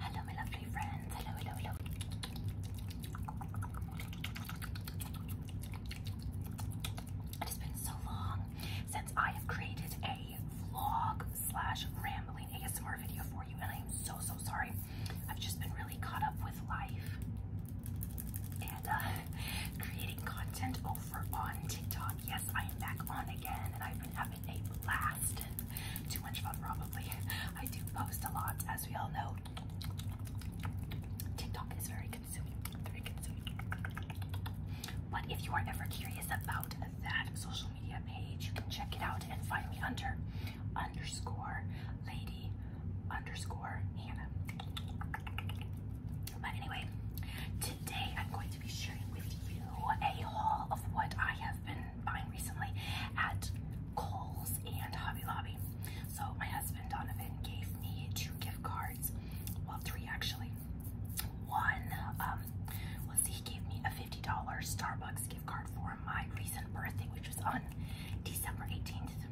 Hello, my lovely friends. Hello, hello, hello. It has been so long since I have created a vlog slash rambling ASMR video for you, and I am so, so sorry. I've just been really caught up with life and uh, creating content over on TikTok. Yes, I am back on again, and I've been a blast too much fun, probably. I do post a lot, as we all know. TikTok is very consuming, very consuming. But if you are ever curious about that social media page, you can check it out and find me under underscore lady underscore Hannah. But anyway, today I'm going to be sharing with you a haul of what I have been buying recently at Kohl's and Hobby Lobby. So my husband Donovan gave me two gift cards. Well, three actually. One um, was he gave me a $50 Starbucks gift card for my recent birthday, which was on December 18th.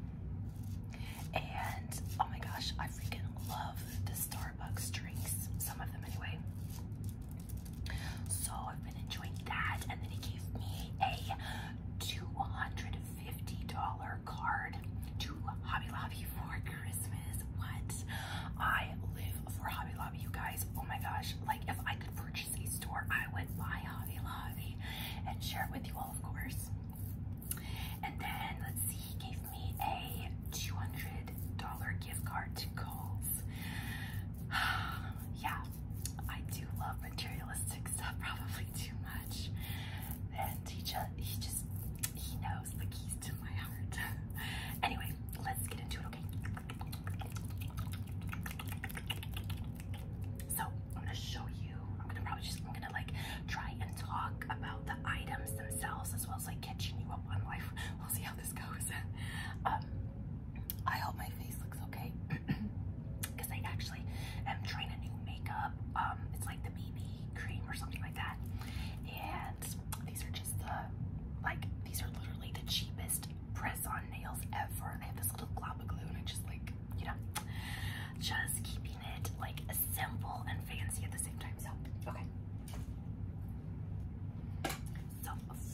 And oh my gosh, I freaking love the Starbucks drinks. Some of them anyway. So I've been enjoying that. And then he gave me a $250 card to Hobby Lobby for Christmas. What? I live for Hobby Lobby, you guys. Oh my gosh. Like, if I could purchase a store, I would buy Hobby Lobby and share it with you all, of course. And then, let's see, he gave me a $200 gift card to Kohl's. yeah, I do love materialistic stuff probably too much. And he just, he knows the keys to my heart. anyway, let's get into it, okay? So I'm gonna show you, I'm gonna probably just, I'm gonna like try and talk about the items themselves as well as like catching you up on life. We'll see how this goes. Um, I hope my face looks okay because I actually am trying a new makeup. Um, it's like the BB cream or something like that, and these are just the like these are literally the cheapest press-on nails ever. They have this little glob of glue, and I just like you know just keeping it like simple and fancy at the same time. So okay. So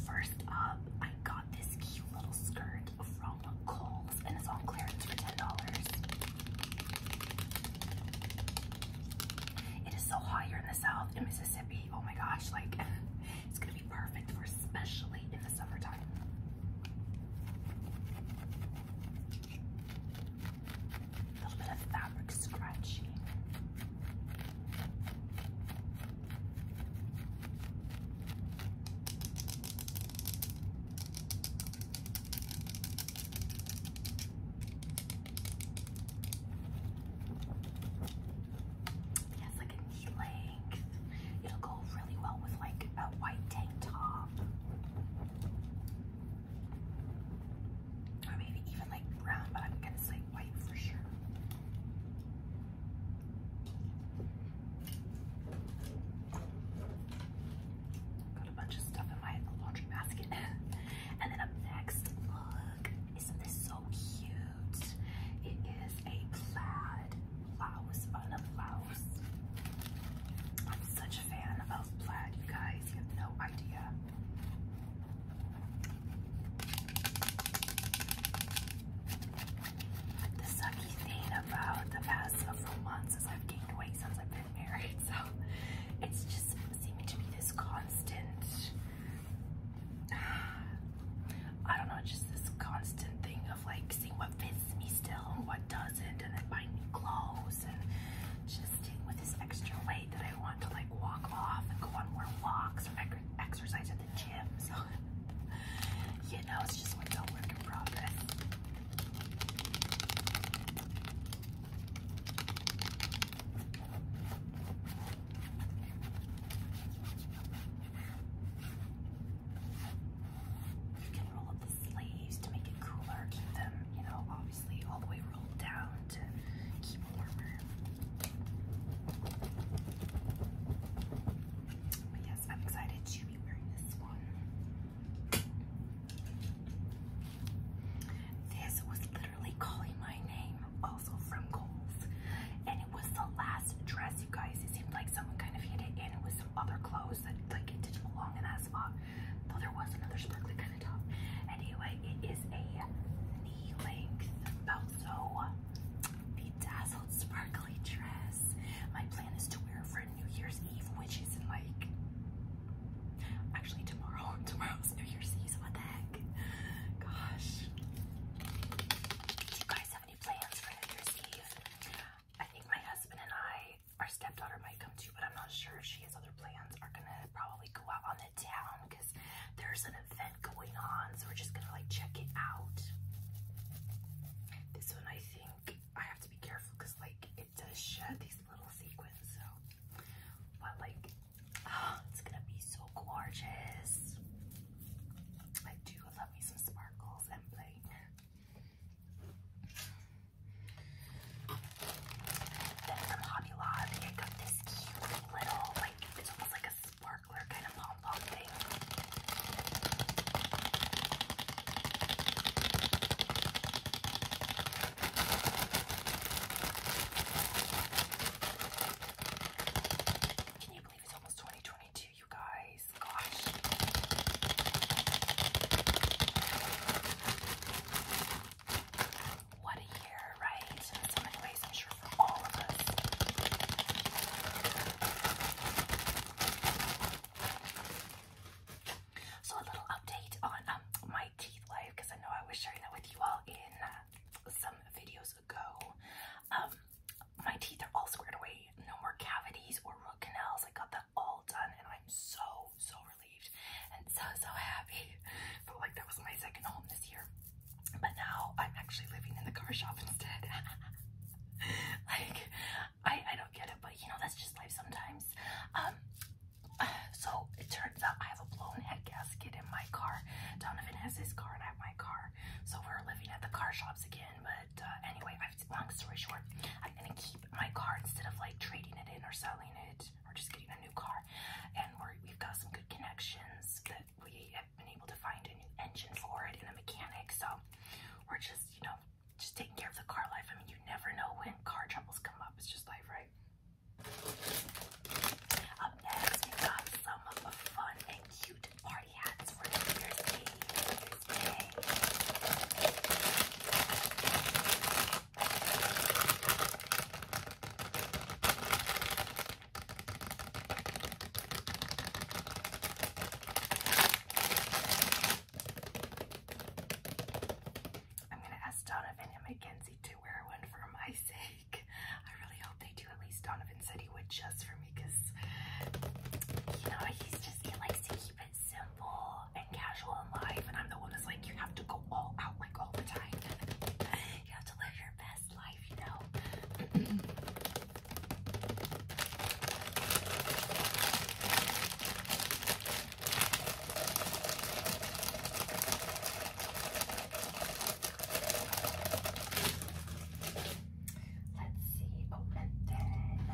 first up, I got this cute little skirt from Kohl's and it's on clearance for $10. It is so hot here in the south in Mississippi. Oh my gosh, like it's gonna be perfect for especially in the summertime. A little bit of fabric scratching. It like knee length. It'll go really well with like a white tank top. Or maybe even like brown, but I'm gonna say Got a bunch of stuff in my laundry basket. and then up next, look, isn't this so cute? It is a plaid blouse on blouse. I'm such a fan of plaid, you guys. You have no idea. The sucky thing about the past several months is I've gained weight since I've been married, so it's just seeming to be this constant. I don't know, just this constant thing of like seeing what fits me still and what doesn't, and then buying new clothes and just with this extra weight that I want to like walk off and go on more walks or exercise at the you know it's just what's a work in progress. You can roll up the sleeves to make it cooler, keep them, you know, obviously all the way rolled down to keep warmer yes, I'm excited to be wearing this one. This was literally calling my name, also from Kohl's. And it was the last dress, you guys. It seemed like someone kind of hid it in with some other clothes that like didn't belong in that spot. Though there was another sparkly kind of top. Anyway, it is a knee length, about bedazzled sparkly dress. My plan is to wear it for New Year's Eve, which is in like actually tomorrow. Tomorrow's New Year's Eve. what the heck? Gosh. Do you guys have any plans for New Year's Eve? I think my husband and I, our stepdaughter might come too, but I'm not sure she has other plans. Are gonna probably go out on the town because there's an event going on, so we're just gonna like check it out. This one, I think I have to be careful because like it does shed these little sequins, so but like it's gonna be so gorgeous. I do love me some sparkles and play. Then from Hobby Lobby, I got this cute little, like, it's almost like a sparkler kind of Can you believe it's almost 2022, you guys? Gosh. What a year, right? So a little update on um, my teeth life because I know I was sharing that with you all in uh, some videos ago. Um, my teeth are all squared away. No more cavities or root canals. I got them all done and I'm so, so relieved and so, so happy. Felt like that was my second home this year. But now I'm actually living in the car shop instead. like, I, I don't get it, but you know, that's just life sometimes. Um, so it turns out I have a blown head gasket in my car. Donovan has his car and I have my car. So we're living at the car shops again. But uh, anyway, long story short, I'm gonna keep my car instead of like trading it in or selling it or just getting a new car. And we've got some good connections we have been able to find a new engine for it and a mechanic. So we're just, you know, just taking care of the car life. I mean, you never know when car troubles come up. It's just life, right? Up next, we got some of the fun and cute party hats for New Year's I'm gonna ask Donovan and Mackenzie to wear one for my sake. I really hope they do. At least Donovan said he would just for me because, you know, he's just, he likes to keep it simple and casual in life. And I'm the one that's like, you have to go all out like all the time. you have to live your best life, Let's see. Oh, and then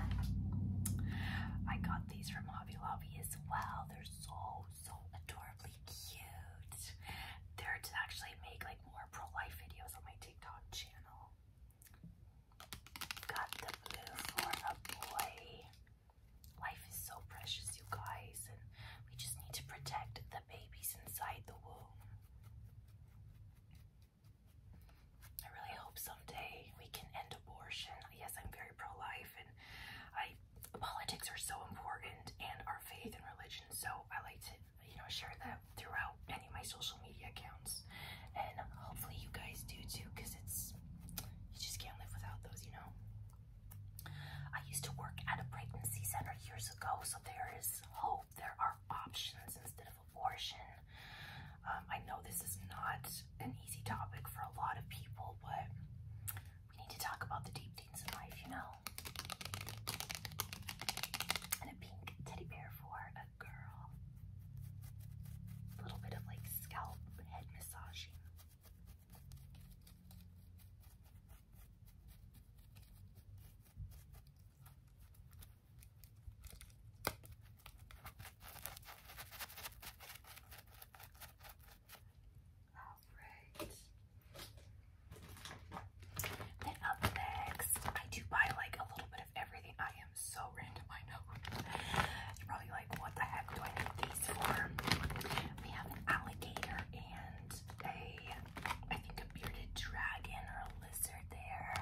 I got these from Hobby Lobby as well. They're so, so adorably cute. They're to actually make like more pro-life videos on oh my TikTok channel. Got the blue for a boy. Life is so precious, you guys, and we just need to protect the babies inside the womb. I really hope someday we can end abortion. Yes, I'm very pro-life, and I politics are so important, and our faith and religion. So I like to you know, share that throughout any of my social media accounts. And hopefully you guys do too, because it's, you just can't live without those, you know? I used to work at a pregnancy center years ago, so there is hope. There are options instead of abortion. Um, I know this is not an easy topic for a lot of people, but we need to talk about the deep things in life, you know? And being teddy bear for a girl. A little bit of like scalp head massaging. All right. Then up next, I do buy like a little bit of everything. I am so random, I know. you probably like, what I need these for? We have an alligator and a, I think a bearded dragon or a lizard there.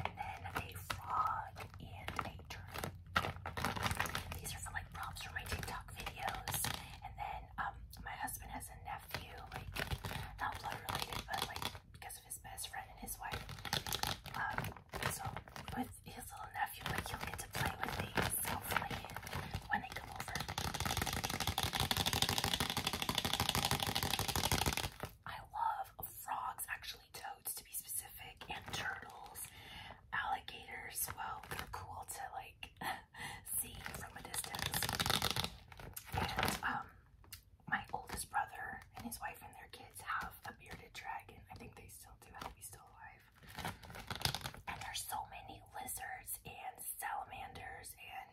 And then a frog and a turtle. These are for like props for my TikTok videos. And then um, my husband has a nephew, like not blood related, but like because of his best friend and his wife. Um, so with his little nephew, like he get to play with these hopefully when they come over. I love frogs, actually toads to be specific, and turtles, alligators. Well, they're cool to like see from a distance. And um my oldest brother and his wife and their kids have a bearded dragon. I think they still do. I hope he's still alive. And there's so many lizards and salamanders and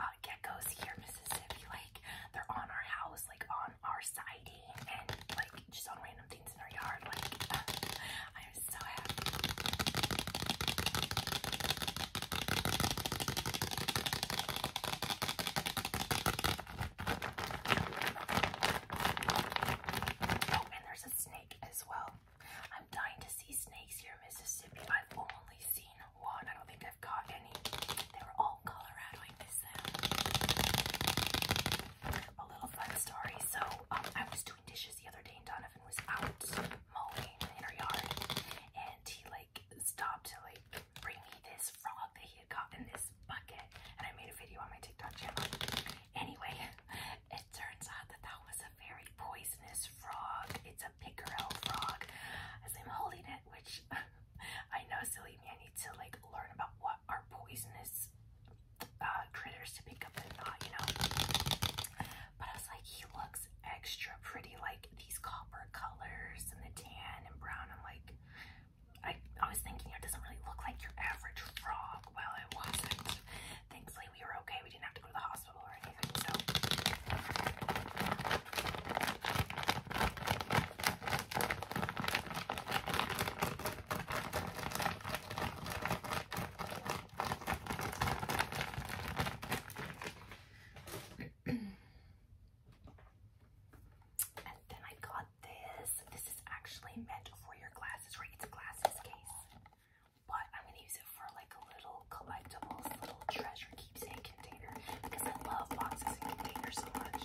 uh, geckos here Mississippi. Like they're on our house, like on our siding, and like just on random things in our yard. Like I am so happy. Oh, and there's a snake as well. I'm dying to see snakes here Mississippi. I've only seen one. I don't think I've caught any. They were all Colorado. A little fun story. So um, I was doing dishes the other day, and Donovan was out mowing in her yard, and he like stopped to like bring me this frog that he had caught in this bucket. And I made a video on my TikTok channel. Anyway, it turns out that that was a very poisonous frog. It's a pickerel frog. As I'm holding it, which I know is silly me, I need to like learn about what are poisonous uh, critters to pick up and not, you know. But I was like, he look extra pretty, like these copper colors and the tan and brown. I'm like, I, I was thinking it doesn't really look like your average frog. Well, it wasn't. Thankfully, we were okay. We didn't have to go to the hospital or anything. So. And then I got this. This is actually meant for your glasses, right? It's a glasses case. But I'm gonna use it for like a little collectibles, little treasure keepsake container because I love boxes and containers so much.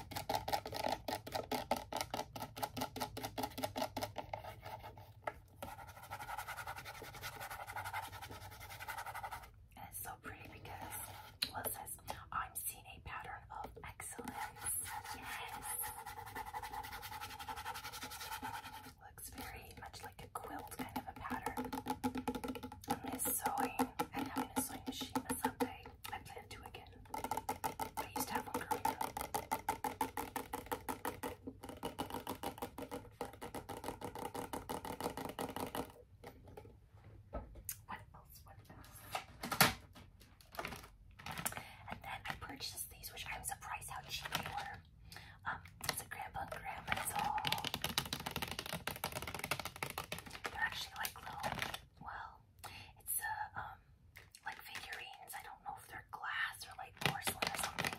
it's so pretty because it says I'm seeing a pattern of excellence. Looks very much like a quilt kind of a pattern. I am sewing and having a sewing machine someday. I, plan to again. I used to have one What else? What else? And then I purchased these, which I was surprised how cheap they were. Um, it's a grandpa and grandma's They're actually like little, well, it's a, um, um, like figurines. I don't know if they're glass or like porcelain or something,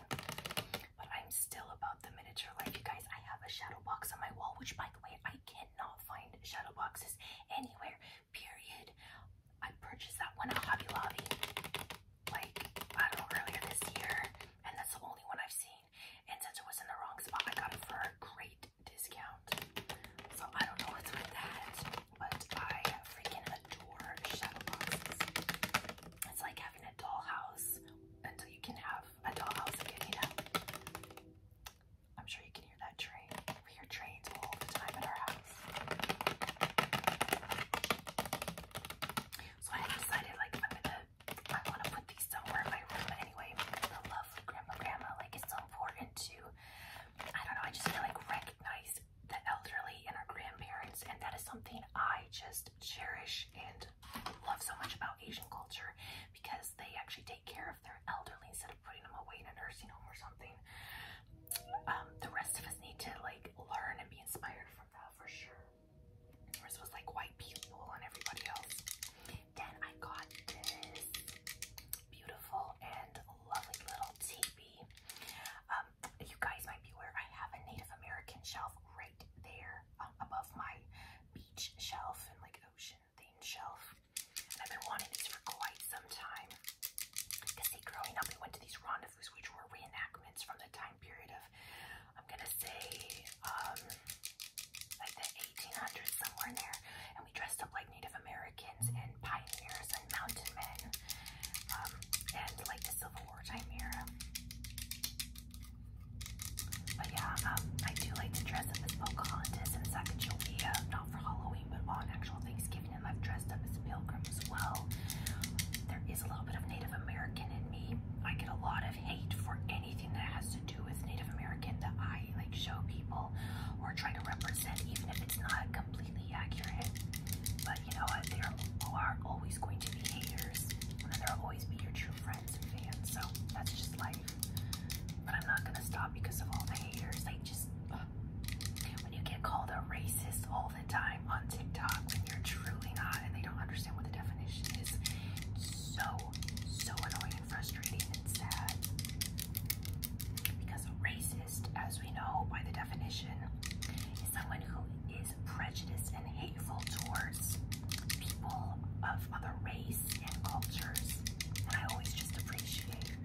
but I'm still about the miniature life. You guys, I have a shadow box on my wall, which by the way, I cannot find shadow boxes anywhere, period. I purchased that one at Hobby Lobby, like, I don't know, earlier this year, and that's the only one I've seen. And since it was in the wrong spot, I got it for a great discount. So I don't know what's with that, but I freaking adore shadow boxes. It's like having a dollhouse until you can have a dollhouse again, you I'm sure you can hear that train. We hear trains all the time at our house. So I decided like I'm gonna I wanna put these somewhere in my room anyway. The love grandma grandma, like it's so important to I don't know, I just feel like right recognize the elderly and our grandparents, and that is something I just cherish and love so much about Asian culture because they actually take care of their elderly instead of putting them away in a nursing home or something. Um, the rest of us need to like learn and be inspired from that for sure. We're supposed to like white people and everybody else. Then I got this beautiful and lovely little teepee. Um, you guys might be aware I have a Native American shelf right there um, above my beach shelf and like ocean themed shelf. I've been wanting these for quite some time. Because see, growing up, we went to these rendezvous, which were reenactments from the time period of, I'm gonna say, um, like the 1800s, somewhere in there we dressed up like Native Americans and pioneers and mountain men um, and like the Civil War time era. But yeah, um, I do like to dress up as Pocahontas and Sacagawea, not for Halloween, but on actual Thanksgiving, and i dressed up as a pilgrim as well. There is a little bit of Native American in me. I get a lot of hate for anything that has to do with Native American that I like show people or try to represent, even if it's not completely accurate. But you know what? There are always going to be haters, and then there will always be your true friends and fans. So that's just life. But I'm not gonna stop because of all the haters. They just uh, when you get called a racist all the time on TikTok when you're truly not, and they don't understand what the definition is. So so annoying and frustrating and sad because a racist as we know by the definition, is someone who is prejudiced and hateful towards people of other race and cultures. And I always just appreciate.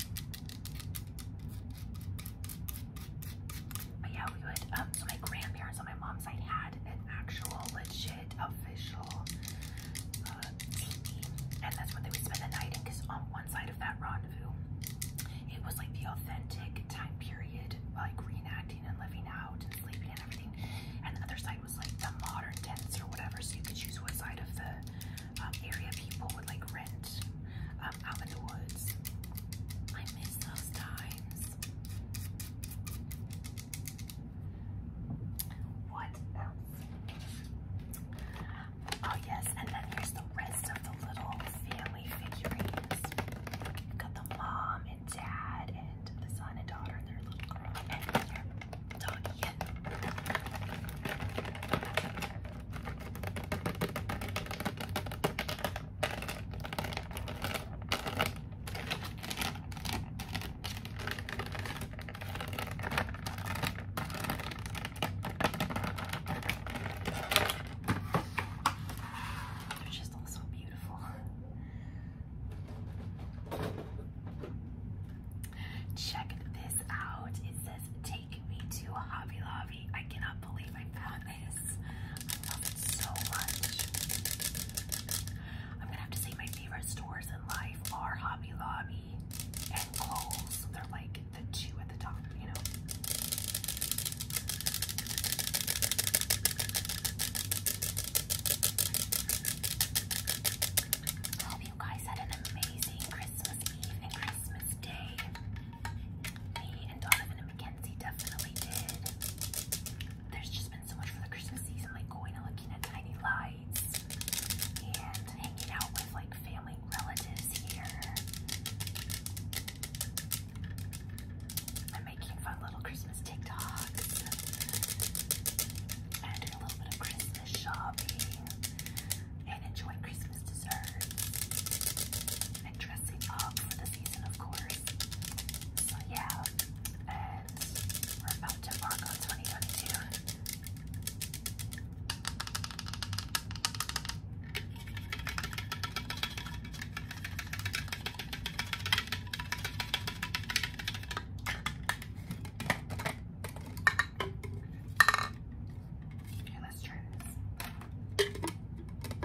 But yeah, we would, um, so my grandparents on my mom's side had an actual legit official uh, TV, and that's what they would spend the night because on one side of that rod rendezvous. It was like the authentic time period, like reenacting and living out and sleeping and everything. And the other side was like the modern tents or whatever, so you could choose what side of the um, area people would like rent um, out in the woods. I miss those times. What else? Oh yes, and then here's the rest of the little family figurines. got the mom and dad and the son and daughter and their little girl and their doggy. They're just all so beautiful. Check this out. It says, Take me to Hobby Lobby. I cannot believe I found this. I love it so much. I'm gonna have to say my favorite stores in life are Hobby Lobby and Kohl's. They're like the two at the top, you hope you guys had an amazing Christmas Eve and Christmas Day. and Donovan and Mackenzie definitely did. There's just been so much for the Christmas season, like going and looking at tiny lights and hanging out with like family relatives here. I'm making fun little Christmas TikToks doing a little bit of Christmas shopping and enjoying Christmas desserts and dressing up for the season, of course. So, yeah, and we're about to mark 2022. Okay, let's try this. Something sounds.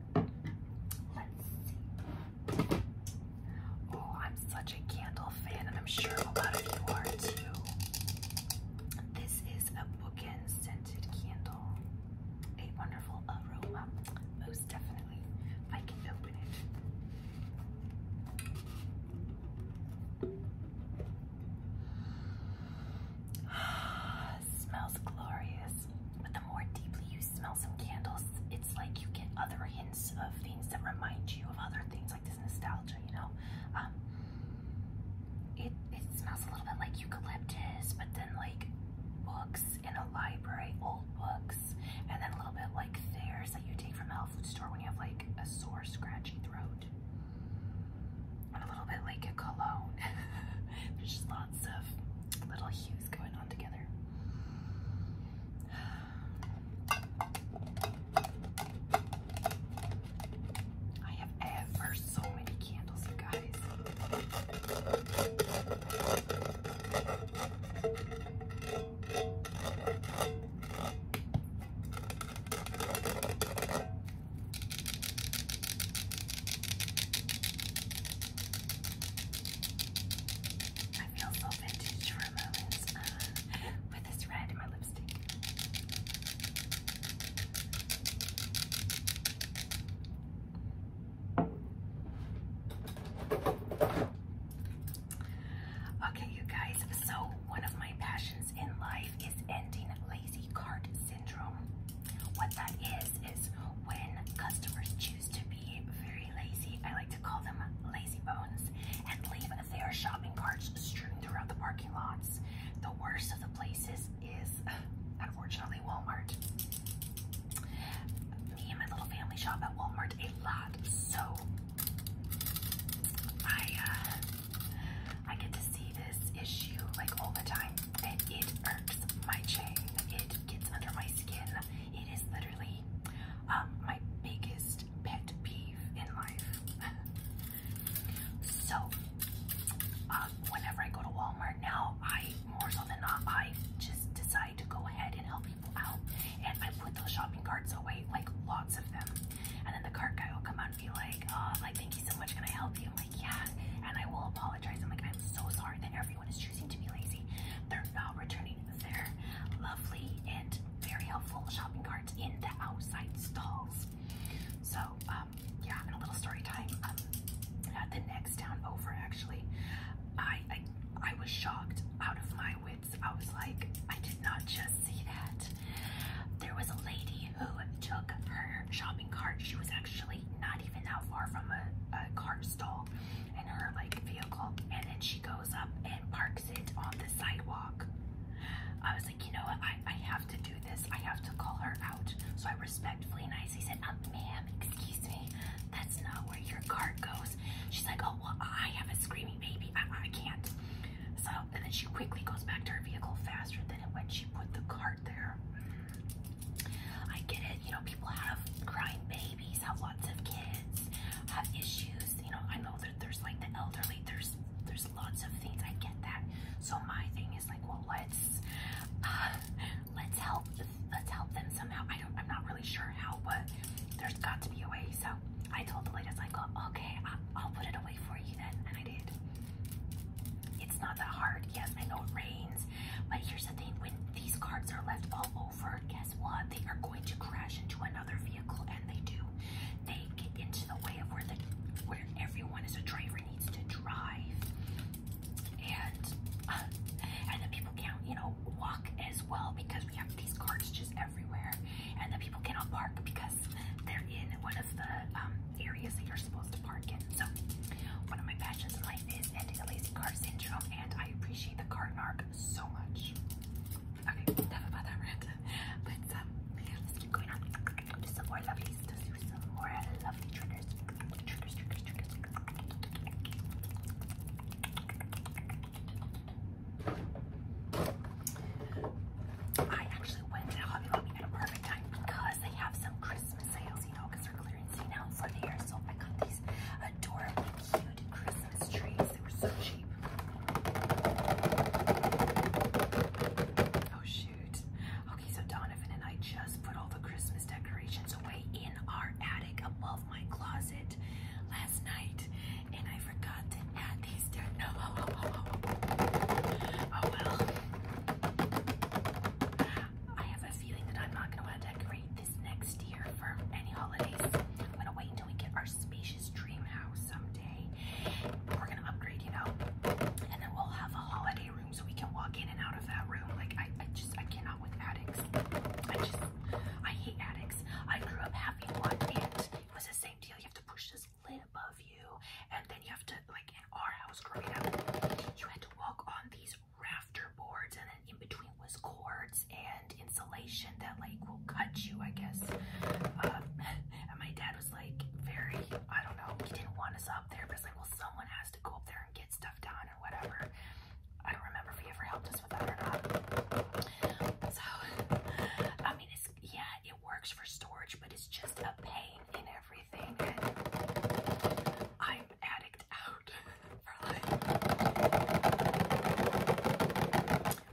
Oh, I'm such a candle fan, and I'm sure a lot of you are too. This is a bookend scented candle. A wonderful aroma. Most definitely. I can open it. Uh, smells glorious. But the more deeply you smell some candles, it's like you get other hints of things that remind you of other things, like this nostalgia, you know? Um, it, it smells a little bit like eucalyptus, but then like books in a library, old books, and then a little bit like theirs that you take from a health food store when you have like a sore, scratchy throat a little bit like a cologne. There's just lots of little hues going on together. I have ever so many candles, you guys. I feel so vintage for a uh, with this red in my lipstick. Okay, you guys, so one of my passions in life is ending lazy cart syndrome. What that is, is when customers choose to be very lazy, I like to call them lazy bones, and leave their shopping carts strewn throughout the parking lots. The worst of the places is, unfortunately, Walmart. Me and my little family shop at Walmart a lot, so I uh, I get to see this issue like all the time, and it irks my chain. It gets under my skin. It is literally um, my biggest pet peeve in life. so, um, whenever I go to Walmart now, I more so than not, I just decide to go ahead and help people out, and I put those shopping carts away, like lots of them. And then the cart guy will come out and be like, "Oh, like thank you so much, can I help you?" I'm like, yeah, and I will apologize. I'm like, I'm so sorry that everyone is choosing to be lazy. They're not returning their lovely and very helpful shopping carts in the outside stalls. So, I'm um, and a little story time. Um, the next town over, actually, I I was shocked out of my wits. I was like, I did not just see that. There was a lady who took her shopping cart. She was actually not even that far from a, cart stall and her like vehicle and then she goes up and parks it on the sidewalk i was like you know what i i have to do this i have to call her out so i respectfully nicely said uh, ma'am excuse me that's not where your cart goes she's like oh well i have a screaming baby i, I can't so and then she quickly goes back to her vehicle faster than when she put the cart there I get it, you know, people have crying babies, have lots of kids, have issues, you know, I know that there's like the elderly, there's there's lots of things, I get that. So my thing is like, well, let's let's help let's help them somehow. I don't I'm not really sure how, but there's got to be a way. So I told the lady, I was like, oh, okay, I'll put it away for you then, and I did. It's not that hard. Yes, I know it rains, but here's the thing when these cards are left all over, guess what? They are going to crash into another vehicle, and they do. They get into the way of where the where everyone as a driver needs to drive, and uh, and the people can't you know walk as well because we have these carts just everywhere, and the people cannot park because they're in one of the um, areas that you're supposed to park in. So one of my passions in life is ending the lazy car syndrome and I appreciate the car narc so much. Okay, enough about that rant. But um, let's keep going on. Do some more lovelies. do some more lovely triggers. I actually went to Hobby Lobby at a perfect time because they have some Christmas sales sales, because they're clearancing out for the year. I got these adorable, cute Christmas trees. They were so cheap. Oh shoot. Okay, so Donovan and I just put all the Christmas decorations away in our attic above my closet last night. And I forgot to add these oh, I have a feeling that I'm not going to want to decorate this next year for any holidays. I'm going to wait until we get our spacious dream house someday. We're going to upgrade, you know, and then we'll have a holiday room so we can walk in and out of that room. Like, I, I just, I cannot with attics. I just, I hate attics. I grew up having one and it was the same deal. You have to push this lid above you and then you have to, like, in our house growing up, you had to walk on these rafter boards and then in between was cords and insulation that like will cut you I guess um, and my dad was like very I don't know he didn't want us up there but it's like well someone has to go up there and get stuff done or whatever I don't remember if he ever helped us with that or not so I mean it's yeah it works for storage but it's just a pain in everything, I'm addict out for life.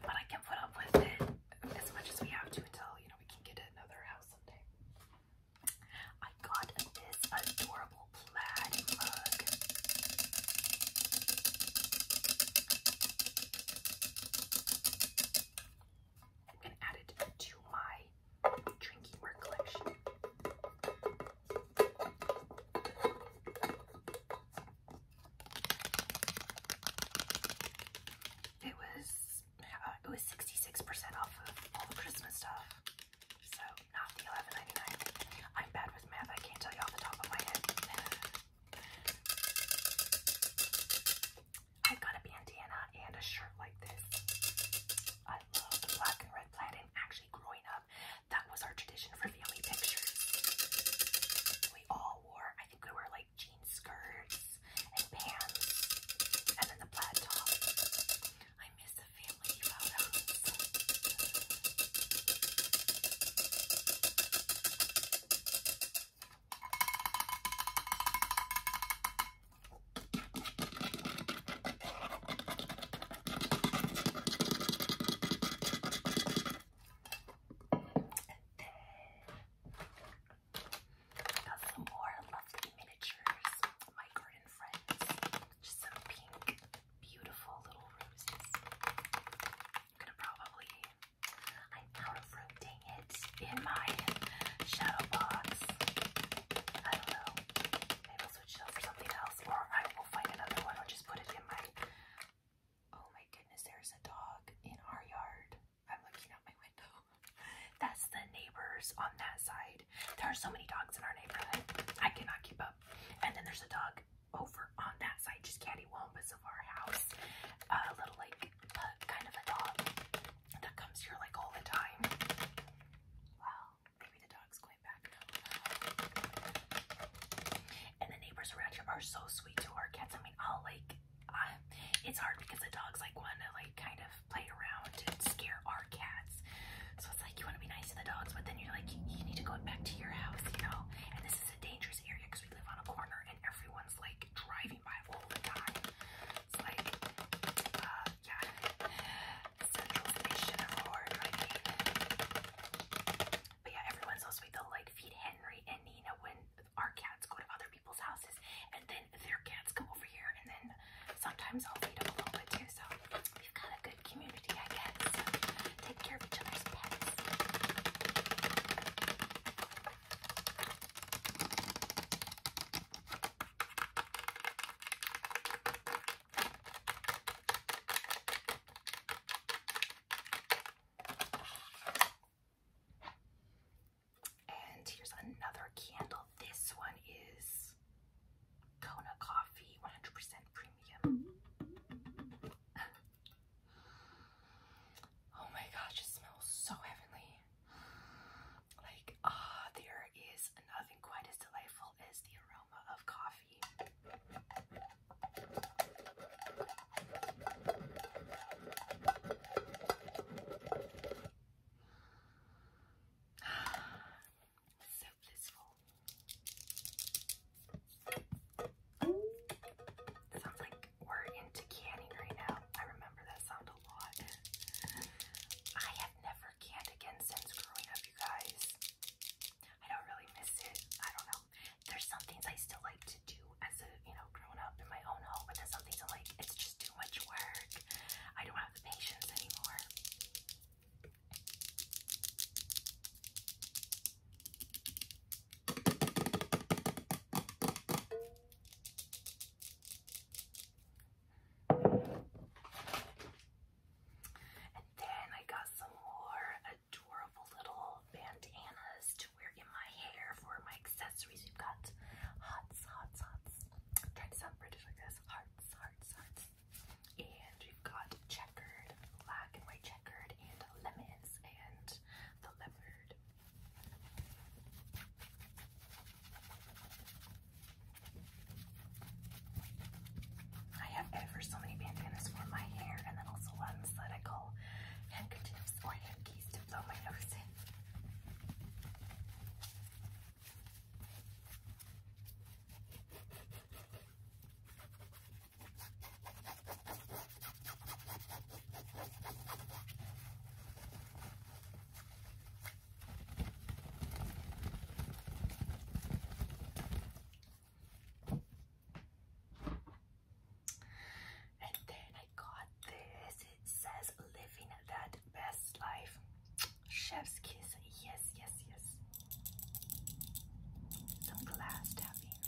But I can put up with it as much as we have to until you know we can get another house someday. I got this adorable plaid mug. I'm gonna add it to my drinking work collection. It was uh, it was sixty six percent off of all the Christmas stuff, so not the eleven ninety nine. I'm bad with math. I can't tell you off the top of my head. i got a bandana and a shirt like this. I love the black and red plaid, and actually growing up, that was our tradition for family pictures. We all wore, I think we were like jean skirts and pants, and then the plaid top. I miss the family photos. Got some more lovely miniatures, my garden Just some pink, beautiful little roses. I'm gonna probably, I'm out of rotating it in my shadow box. I don't know. I'll for something else, or I will find another one, or just put it in my. Oh my goodness, there's a dog in our yard. I'm looking out my window. That's the neighbors on that side. There are so many dogs in our neighborhood. I cannot keep up. And then there's a dog over on that side, just cattywampus of our house. a little like kind of a dog that comes here like all the time. Wow. Maybe the dog's going back now. And the neighbors around here are so sweet to our cats. I mean, I'll like, uh, it's hard because the dogs like want to like kind of play around and scare our cats. So it's like you want to be nice to the dogs, but then you're like, you need to go back to your house, you know? And this is a dangerous area because we live on a corner and everyone's like driving by all the time. It's like, uh, yeah. But yeah, everyone's so sweet. They'll like feed Henry and Nina when our cats go to other people's houses, and then their cats come over here, and then sometimes I'll feed them a little bit too. So we've got a good community, I guess. Take care of each other's pets. And here's another candle. This one is Kona Coffee, 100% premium. oh my gosh, it smells so heavenly. Like, ah, uh, there is nothing quite as delightful as the aroma of coffee. so blissful. Sounds like we're into canning right now. I remember that sound a lot. I have never canned again since growing up guys. I don't really miss it. I don't know. There's some things I still like to do as a, you know, grown up in my own home, but there's some things i like, it's just too much work. I don't have the patience anymore. And then I got some more adorable little bandanas to wear in my hair for my accessories. you have got hots, hots, hots. i to sound British like this. Hearts, hearts, hearts. And we've got checkered, black and white checkered, and lemons, and the leopard. I have ever so many bandanas for my hair and then also ones that I call handkerchiefs or hankies to blow my nose in. And then I got this. It says living that best life. Chef's kiss. Yes, yes, yes. Some glass tapping.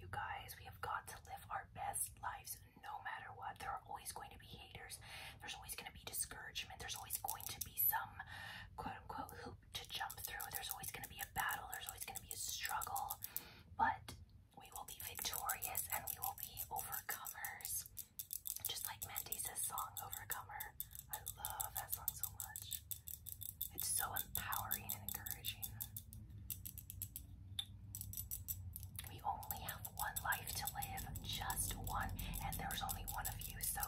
You guys, we have got to live our best lives no matter what. There are always going to be haters. There's always going to be discouragement. There's always going to be some quote unquote hoop to jump through. There's always going to be a battle. There's always going to be a struggle. But we will be victorious and we will be overcomers. Just like Mendes' song, Overcomer. I love that song so much. It's so empowering and encouraging. We only have one life to live, just one, and there's only one of you, so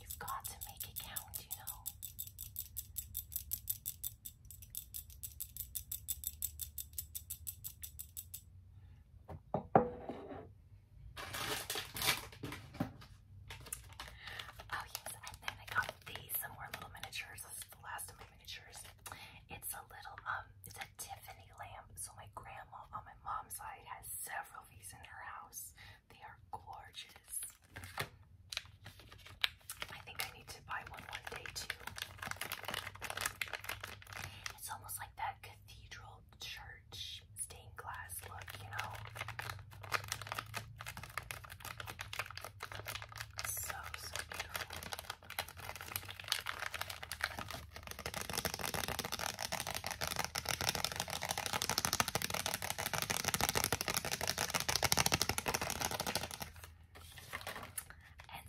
you've got to make it count, you know. Oh yes, and then I got these, some more little miniatures. This is the last of my miniatures. It's a little, um, it's a Tiffany lamp. So my grandma on my mom's side has several of these in her house. They are gorgeous. I think I need to buy one one day too. It's almost like that cathedral church stained glass look, you know? So, so beautiful. And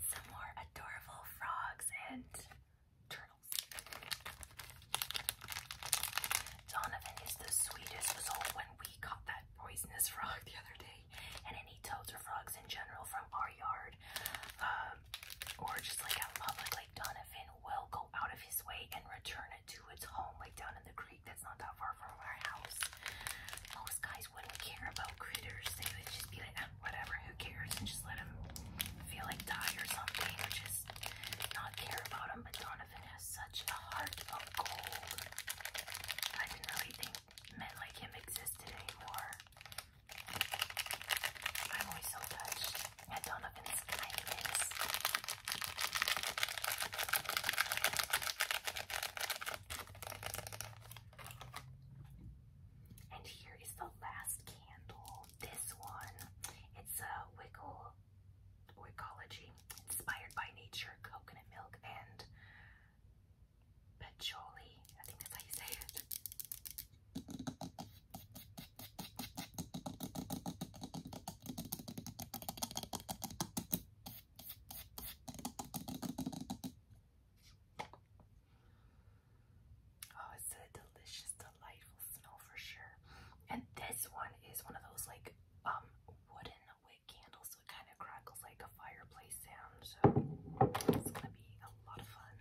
some more adorable frogs and turtles. Donovan is the sweetest soul when we got that poisonous frog the other day day, and any toads or frogs in general from our yard, um, or just like out in public, like Donovan will go out of his way and return it to its home, like down in the creek that's not that far from our house. Most guys wouldn't care about critters, they would just be like, ah, whatever, who cares, and just let them feel like die or something, or just not care about them. But Donovan has such a heart of gold. I didn't really think men like him existed anymore. I'm always so touched at Donovan's kindness. And here is the last candle. This one. It's a Wickel Wickology. Inspired by nature, coconut milk, and Patchouli. I think that's how you say it. Oh, it's a delicious, delightful smell for sure. And this one is one of those like um wooden wick candles also kind of crackles like a fireplace sound, so it's gonna be a lot of fun.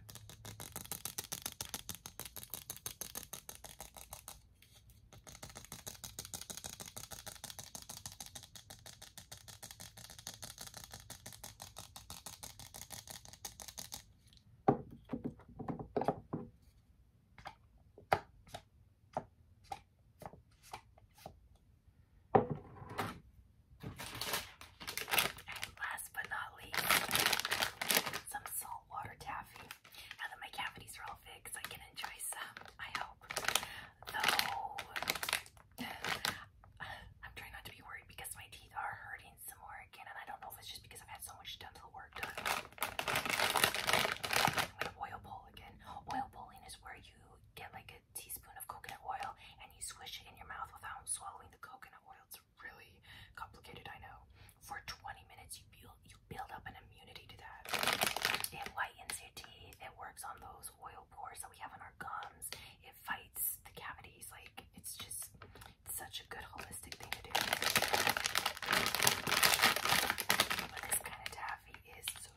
And last but not least, some saltwater taffy. Now that my cavities are all fixed, I can enjoy some, I hope. Though, I'm trying not to be worried because my teeth are hurting some more again, and I don't know if it's just because I've had so much dental work done. oil bowl again. Oil bowling is where you get like a teaspoon of coconut oil and you swish it in your mouth without swallowing the coconut oil. It's really complicated, I know. For 20 minutes, you build, you build up an immunity to that. It lightens your teeth. It works on those oil pores that we have on our gums. It fights the cavities. Like, it's just such a good holistic thing to do.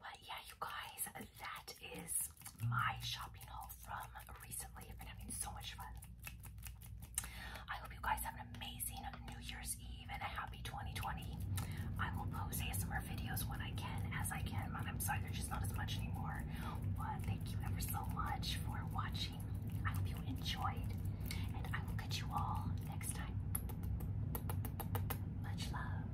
But yeah, you guys, that is my shopping haul from recently. I've been having so much fun. I hope you guys have an amazing New Year's Eve and a happy 2020. I will post more videos when I can, as I can. I'm sorry, there's just not as much anymore. But thank you ever so much for watching. I hope you enjoyed, and I will catch you all next time. Much love.